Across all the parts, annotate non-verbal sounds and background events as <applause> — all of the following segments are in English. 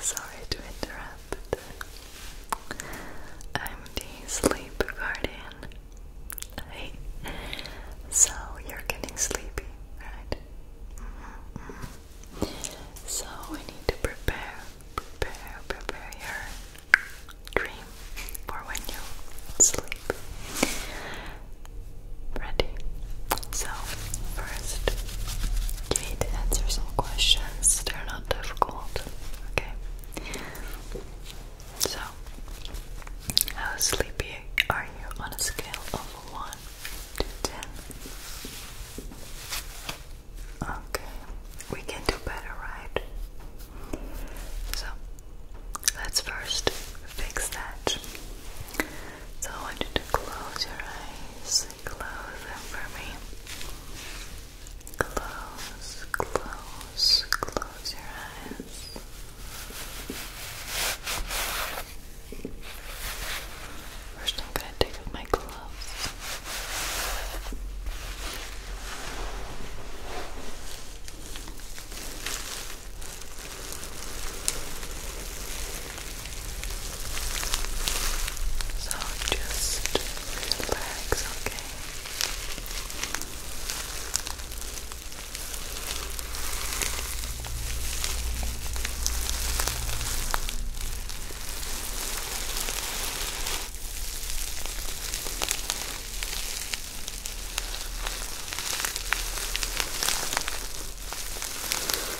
Sorry to interrupt. I'm the sleep guardian. so you're getting sleepy, right? Mm-hmm, mm-hmm. So we need to prepare, prepare, prepare your dream for when you sleep ready. So, first, you need to answer some questions. They're not difficult. Okay. So, how sleepy are you on a scale of 1 to 10? Okay, we can do better, right? So, let's first fix that. So I want you to close your eyes. Close them for me. Close, close, close your eyes. First, I'm going to take off my gloves. So just relax, okay?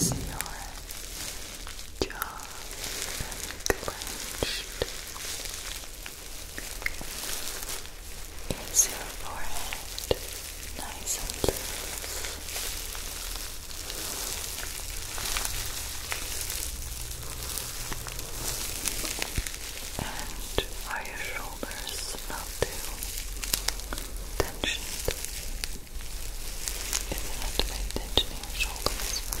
So is your is your forehead nice and loose? And are your shoulders not too tensioned? If you have tension in your shoulders,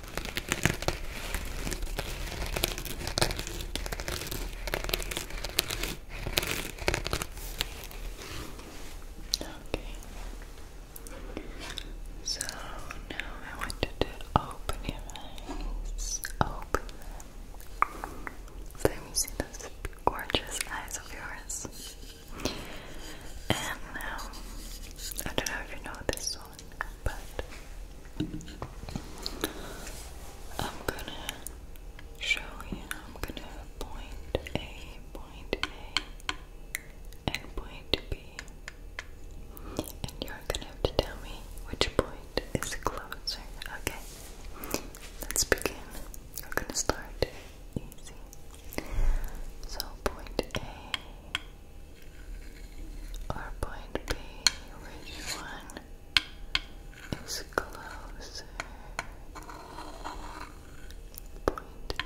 Okay. So now I want you to open your eyes. Open them. Let me see those gorgeous eyes of yours. And um, I don't know if you know this song, but I'm gonna show you. I'm gonna point A, point A, and point B. And you're gonna have to tell me which point is closer. Okay, let's begin. We're gonna start easy. So, point A point B? Which one is closer? Point A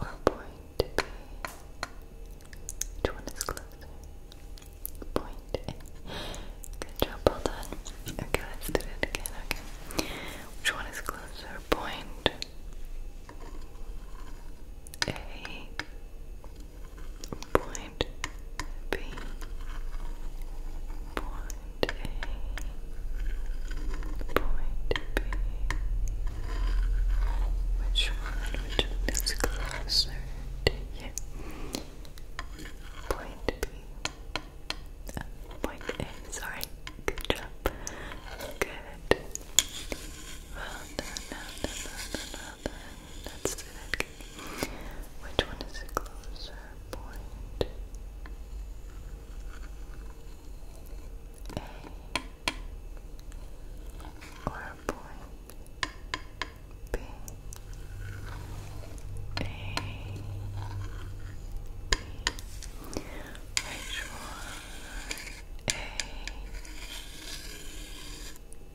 or point B? Which one is closer? Point A. Good job, well done. Okay, let's do it again, okay. Which one is closer? point A point B point A point B which one which one is closer to you? Point B uh, point A sorry Good job. Good. Well done, Let's do that Which one is the closer point? A or point? B. A. B. H1A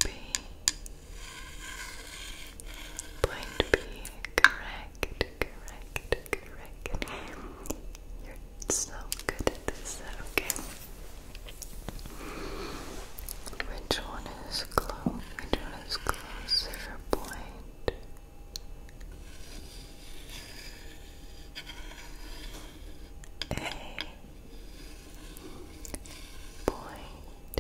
B point B correct correct correct you're so good at this okay which one is close which one is closer point a point B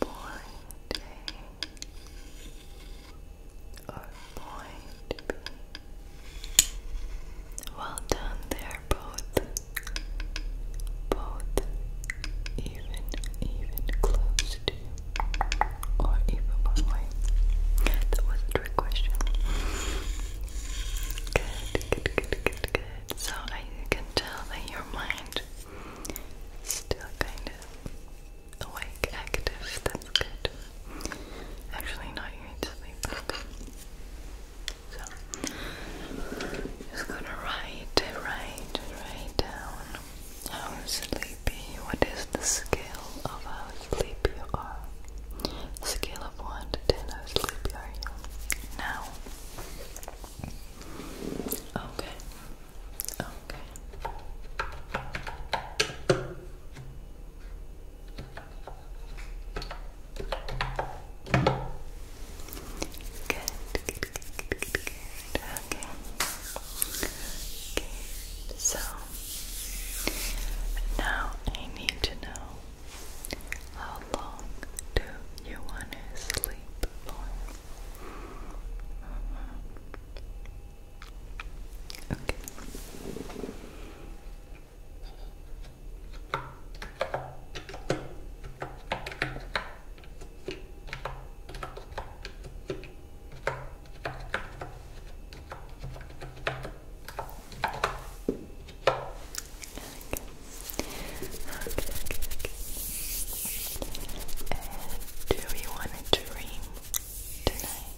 point A or point B. Well done, they're both both even even close to or even one way. That was a trick question. Good, good, good, good, good. So I can tell that your mind is still kind of awake, active. That's good. Actually, not you need to sleep. So, just gonna write, write, write down. How sleepy? What is the scale of how sleepy you are? Scale of 1 to 10, how sleepy are you now? Okay. Okay. Good. Okay. Okay. So now I need to know how long do you want to sleep for? Okay do we want to dream tonight.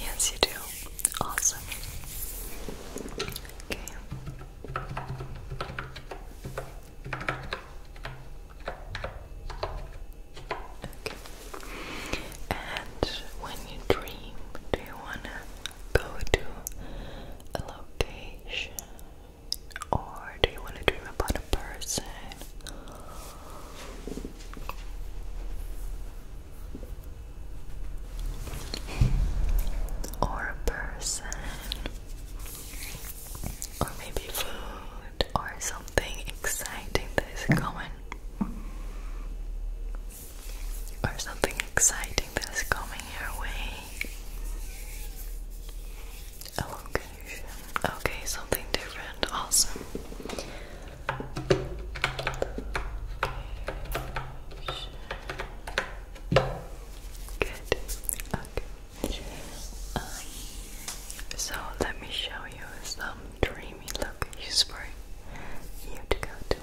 Yes, you do. Awesome. Okay. Okay. And when you dream, do you wanna go to a location? Or do you wanna dream about a person? Or a person or maybe food or something exciting that is coming or something exciting that is coming your way a location okay something different awesome Good. Okay. Um, so let me show you some dreamy locations for you to go to,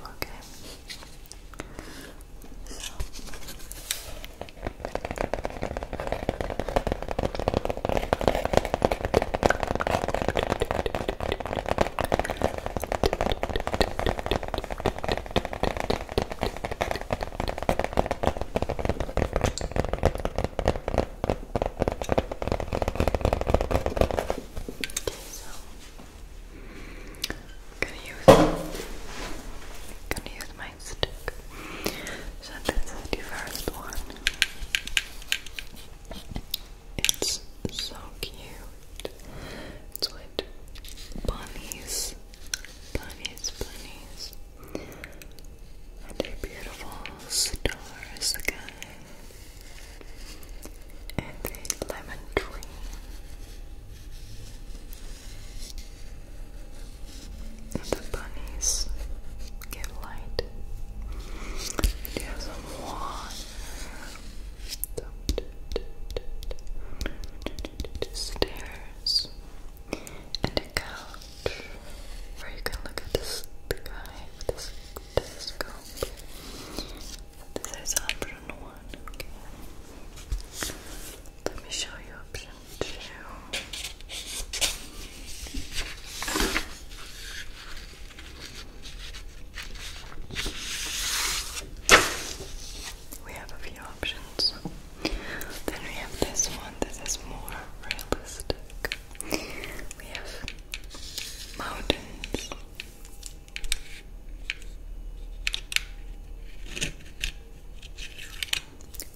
so gonna use gonna use my stick. So this is the first one. It's so cute. It's with bunnies bunnies, bunnies, and their beautiful stars again, and the lemon tree. And the bunnies get light. And you have some water stairs and a couch where you can look at this, the this telescope. This is option one, Let me show you option two we have a few options. Then we have this one that is more realistic. We have mountains.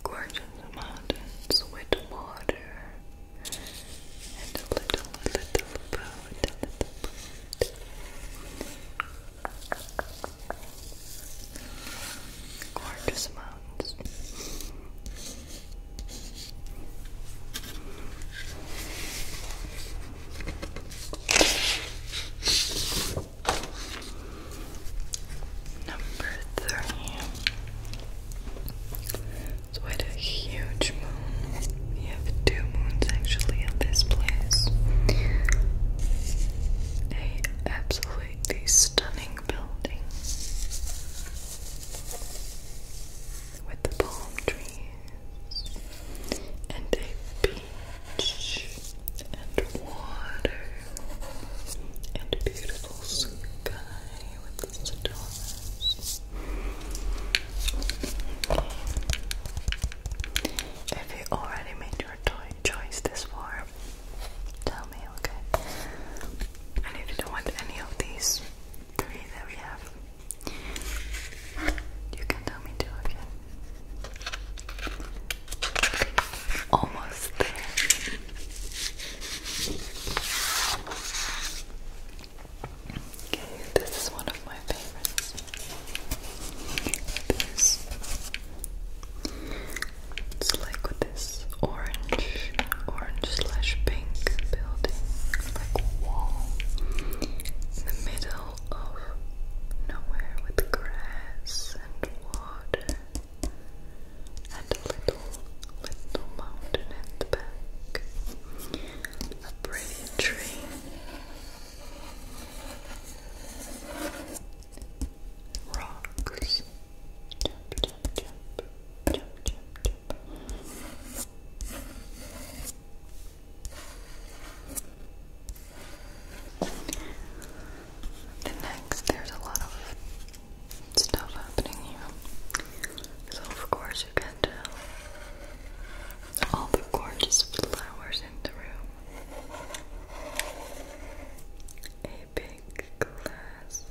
Gorgeous mountains with water and a little, little boat, little boat. Gorgeous amounts. Number three. what a huge moon. We have two moons actually in this place absolutely stunning building with the palm trees and a beach and water and a beautiful sky with the stars. Okay. If you already made your toy choice this for, tell me, okay? And if you don't want any of these three that we have, you can tell me too, okay? Almost there. Okay, this is one of my favorites this. It's like this orange, orange slash pink building, like wall in the middle of nowhere with grass and water and a little, little mountain at the back. A pretty tree rocks. The next, there's a lot of stuff happening here. So, of course, you can tell uh, all the gorgeous flowers in the room a big glass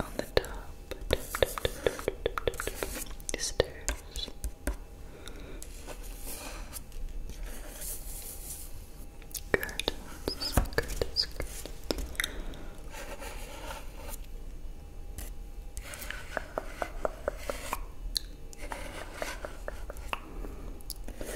on the top stairs. Curtains, curtains, Okay,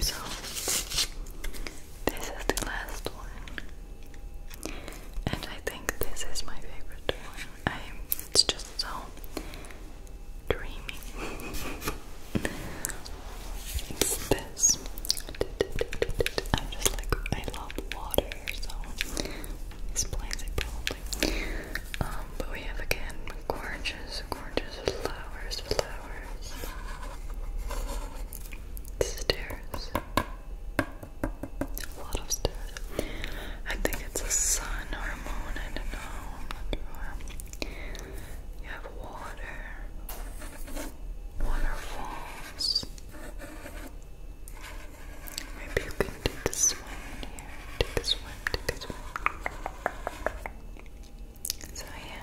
so this is the last one, and I think this is my favorite one. I it's just so dreamy. it's this. I just like I love water, so explains it um, but we have again gorgeous, gorgeous flowers, flowers. Stairs. A lot of stairs. I think it's a sun or moon, you have water, waterfalls. Maybe you can take a swim here. Take a swim, take a swim. So, yeah.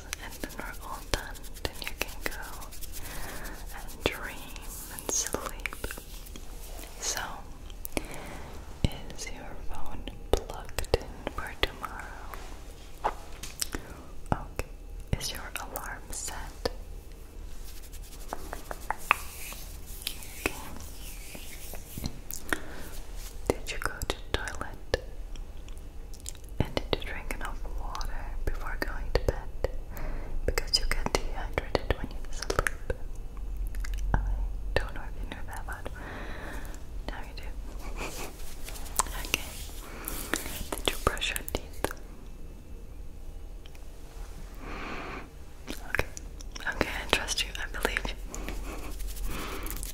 and when we're all done, then you can go and dream and sleep. So, is your phone plugged in for tomorrow? Okay. Is your alarm set? Okay. Did you go to toilet? and to drink enough water before going to bed because you get dehydrated when you sleep. I don't know if you knew that, but now you do. <laughs> okay. Did you brush your teeth? Okay. Okay, I trust you. I believe you. <laughs>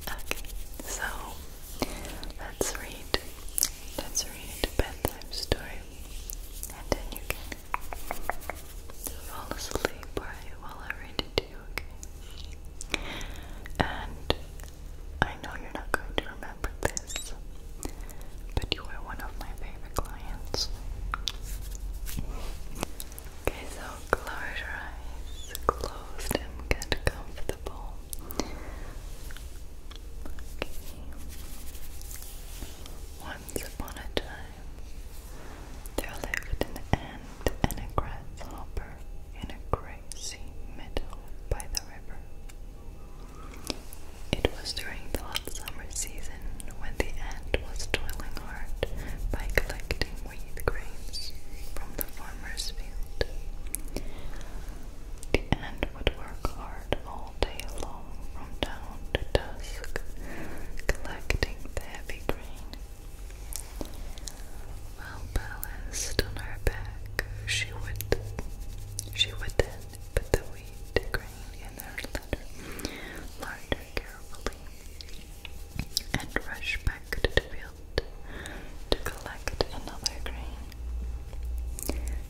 Okay. So Let's read. Let's read bedtime story, and then you can fall asleep while I read it to you, okay? And I know you're not going to remember this, but you are one of my favorite clients. Okay, so close your eyes, close them, get comfortable. Once upon a time, there lived an ant and a grasshopper in a grassy meadow by the river. It was during the hot summer season when the ant was toiling hard by collecting wheat grains from the farmer's field. The ant would work hard all day long from dawn to dusk, collecting the heavy grain. Well balanced on her back, she would she would then put the wheat grain in her letter, larder carefully, and rush back to the field to collect another grain.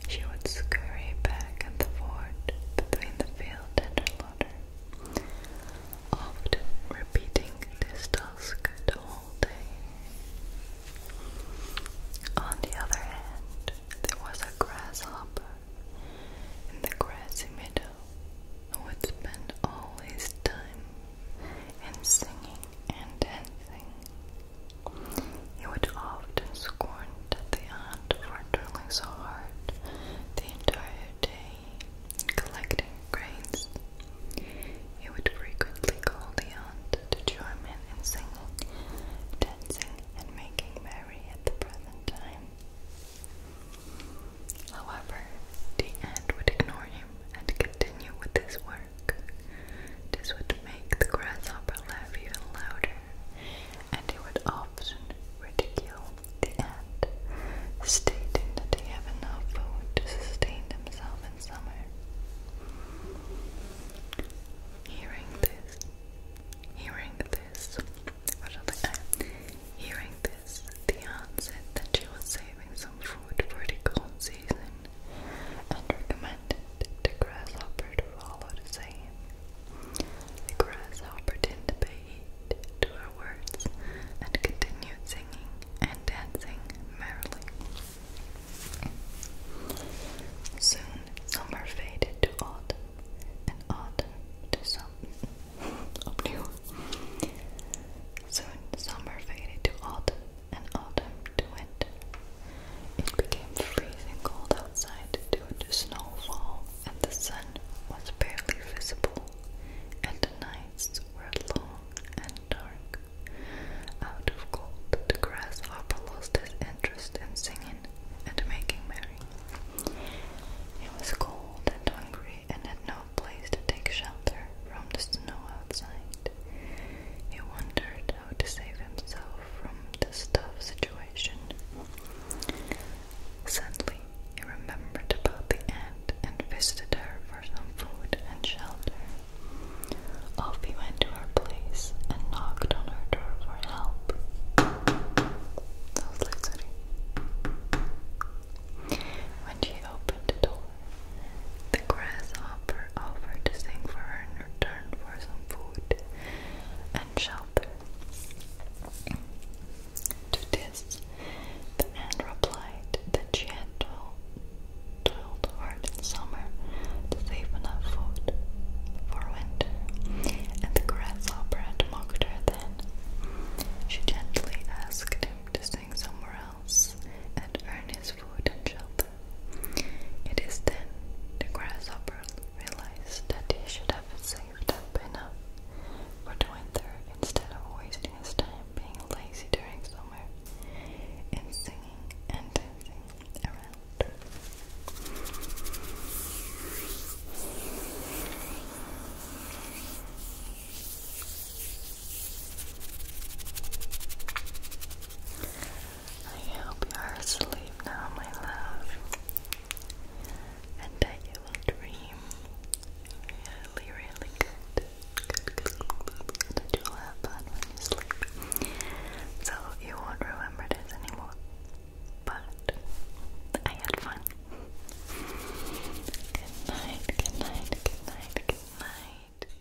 She would scurry back and forth between the field and her larder, often repeating this task the whole day. On the other hand, there was a grasshopper in the grassy meadow who would spend all his time in singing and dancing. He would often scorn the aunt for toiling so hard the entire day collecting grains. He would frequently call the aunt to join in in singing, dancing, and making merry at the present time. However, the aunt would ignore him and continue with his work. This would make the grasshopper laugh even louder, and he would often ridicule the ant, stating that they have enough food to sustain themselves in summer. Hearing this, hearing this, hearing this, the ant said that she was saving some food for the cold season and recommended the grasshopper to follow the same. The grasshopper didn't pay to her words and continued singing and dancing merrily. Soon summer faded to autumn, and autumn to summer. <laughs> Soon summer faded to autumn, and autumn to winter. It became freezing cold outside due to snowfall, and the sun was barely visible, and the nights were long and dark. Out of cold, the grass grasshopper lost his interest in singing and making merry. He was cold and hungry and had no place to take shelter from the snow outside. He wondered to save himself from this tough situation. Suddenly, he remembered about the ant and visited her for some food and shelter. Off went to her place and knocked on her door for help. when she opened the door, the grasshopper offered to sing for her return for some food and shelter. To this, the ant replied that she had toiled hard in summer to save enough food for winter, and the grasshopper had mocked her then. She gently asked him to sing somewhere else and earn his food and shelter. It is then the grasshopper realized that he should have saved up enough for winter instead of wasting his time being lazy during summer and singing and dancing around. I hope you are asleep now, my love, and that you will dream really, really good. Good, good, good, good. That you have fun when you sleep. So you won't remember this anymore, but I had fun. Good night, good night, good night, good night.